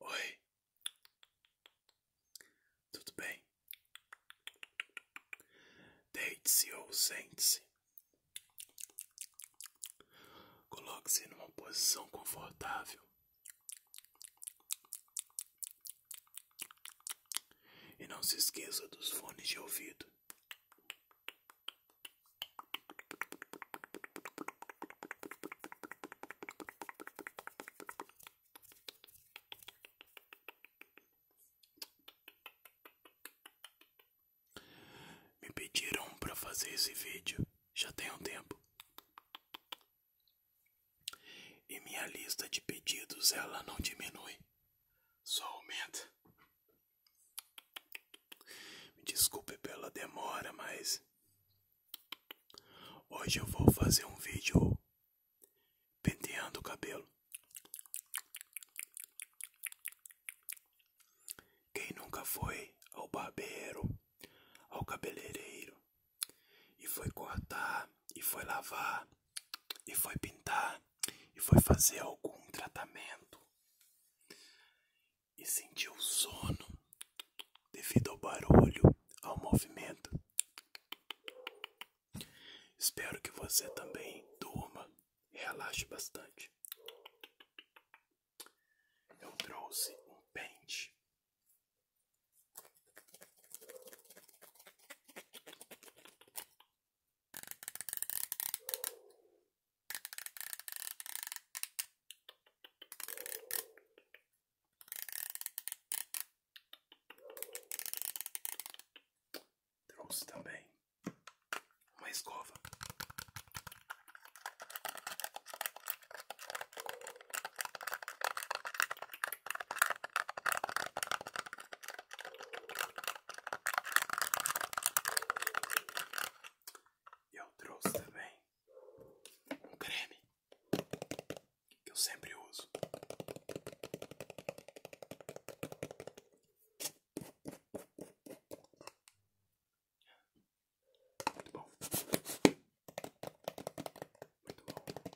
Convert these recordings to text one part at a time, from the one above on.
Oi, tudo bem? Deite-se ou sente-se. Coloque-se numa posição confortável e não se esqueça dos fones de ouvido. Me pediram para fazer esse vídeo já tem um tempo. E minha lista de pedidos ela não diminui. Só aumenta. Me desculpe pela demora, mas hoje eu vou fazer um vídeo penteando o cabelo. Quem nunca foi ao barbeiro, ao cabeleireiro e foi cortar e foi lavar e foi pintar e foi fazer algum tratamento e sentiu sono devido ao barulho, ao movimento. Espero que você também durma e relaxe bastante. Eu trouxe um pente. Trouxe também uma escova. Eu trouxe também um creme que eu sempre uso. Muito bom. Muito bom.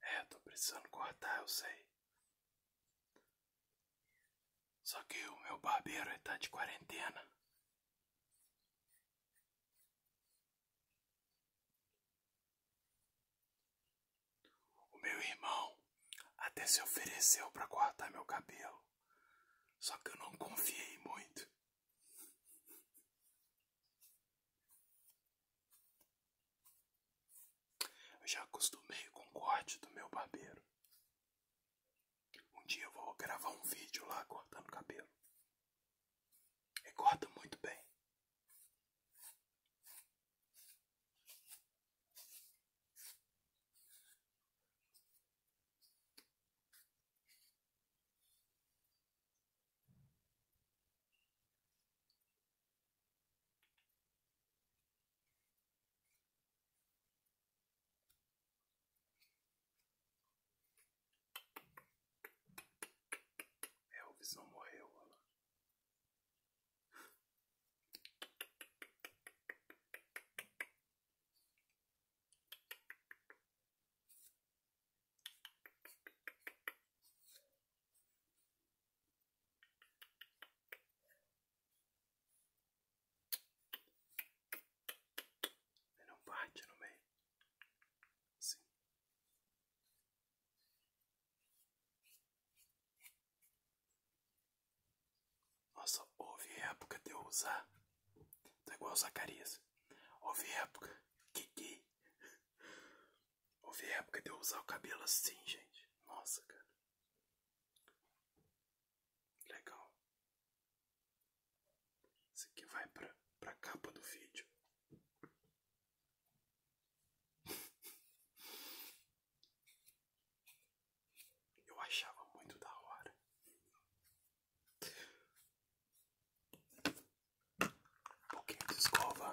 É, tô precisando cortar, eu sei. Só que o meu barbeiro ele tá de quarentena. O meu irmão até se ofereceu para cortar meu cabelo. Só que eu não confiei muito. Eu já acostumei com o corte do meu barbeiro. Um dia eu vou gravar um vídeo lá cortando cabelo. E corta muito bem. Elvisão é, morreu, olha lá. E não parte no meio. Sim. Nossa, houve época de eu usar. Tá igual o Zacarias. Houve época. Kiki. Houve época de eu usar o cabelo assim, gente. Nossa, cara. Legal. Isso aqui vai pra, pra capa do vídeo. Eu achava muito da hora. Um pouquinho de escova.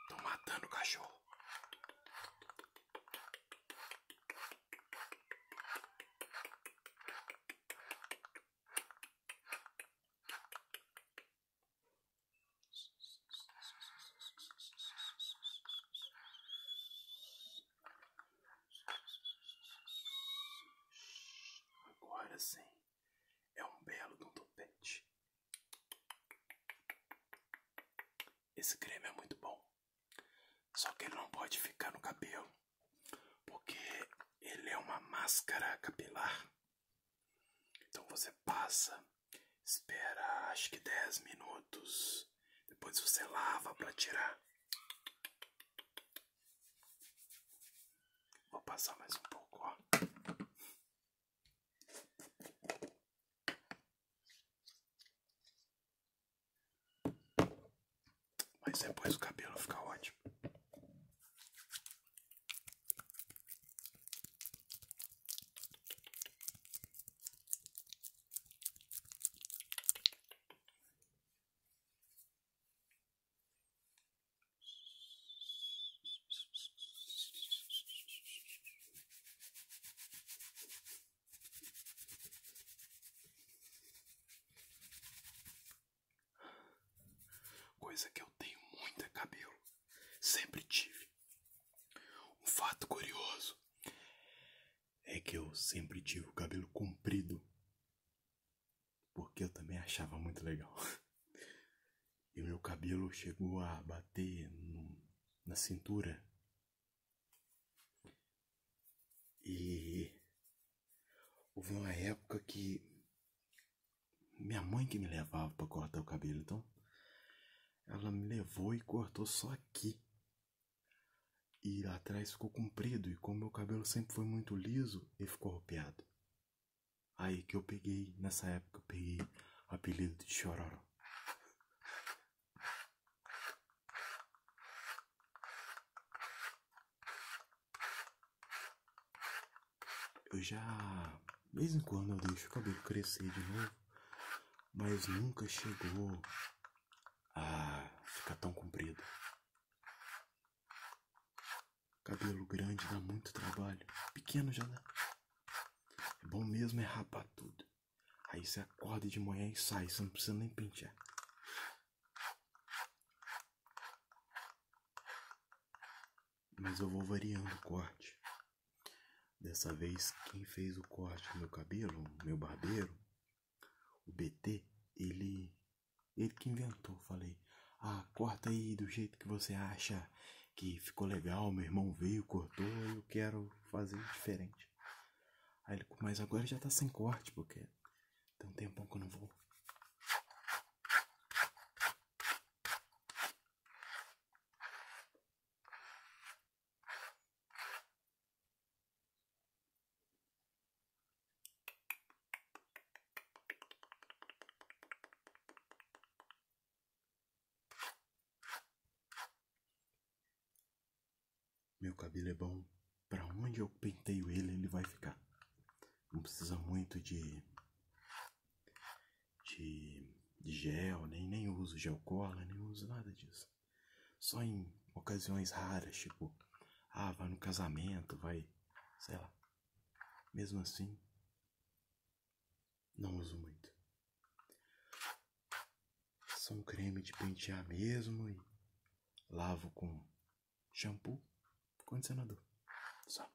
Estou matando o cachorro. Agora sim, é um belo de um topete. Esse creme é muito bom. Só que ele não pode ficar no cabelo, porque ele é uma máscara capilar. Então você passa, espera acho que 10 minutos, depois você lava para tirar. Vou passar mais um pouco, ó. Mas depois o cabelo fica ótimo. Coisa que eu tenho muito é cabelo, sempre tive. Um fato curioso é que eu sempre tive o cabelo comprido, porque eu também achava muito legal. e o meu cabelo chegou a bater na cintura. E houve uma época que minha mãe que me levava para cortar o cabelo, então ela me levou e cortou só aqui. E atrás ficou comprido e como meu cabelo sempre foi muito liso, ele ficou arropeado. Aí que eu peguei, nessa época peguei o apelido de Chororó. Eu já, de vez em quando eu deixo o cabelo crescer de novo, mas nunca chegou a ficar tão comprido. Cabelo grande dá muito trabalho. Pequeno já dá. É bom mesmo é rapar tudo. Aí você acorda de manhã e sai, você não precisa nem pentear. Mas eu vou variando o corte. Dessa vez, quem fez o corte do meu cabelo, meu barbeiro, o BT, ele. Ele que inventou, falei falei: Ah, corta aí do jeito que você acha que ficou legal. Meu irmão veio, cortou, eu quero fazer diferente. mas agora já tá sem corte, porque tem um tempão que eu não vou. Meu cabelo é bom. Para onde eu penteio ele, ele vai ficar. Não precisa muito de de, gel, nem nem uso gel cola, nem uso nada disso. Só em ocasiões raras, tipo, ah, vai no casamento, vai, sei lá. Mesmo assim, não uso muito. Só um creme de pentear mesmo e lavo com shampoo, condicionador. Só.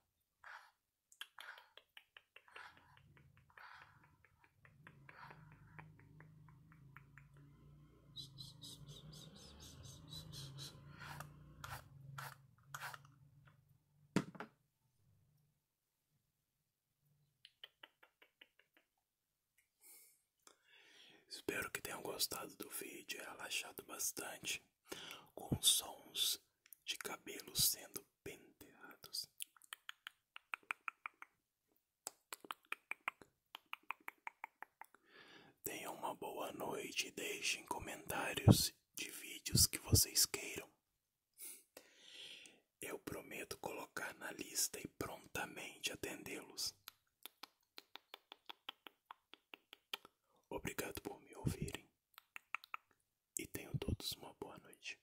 Espero que tenham gostado do vídeo, é relaxado bastante com sons de cabelos sendo penteados. Tenham uma boa noite e deixem comentários de vídeos que vocês queiram. Eu prometo colocar na lista e prontamente atendê-los. Obrigado por me ouvirem e tenham todos uma boa noite.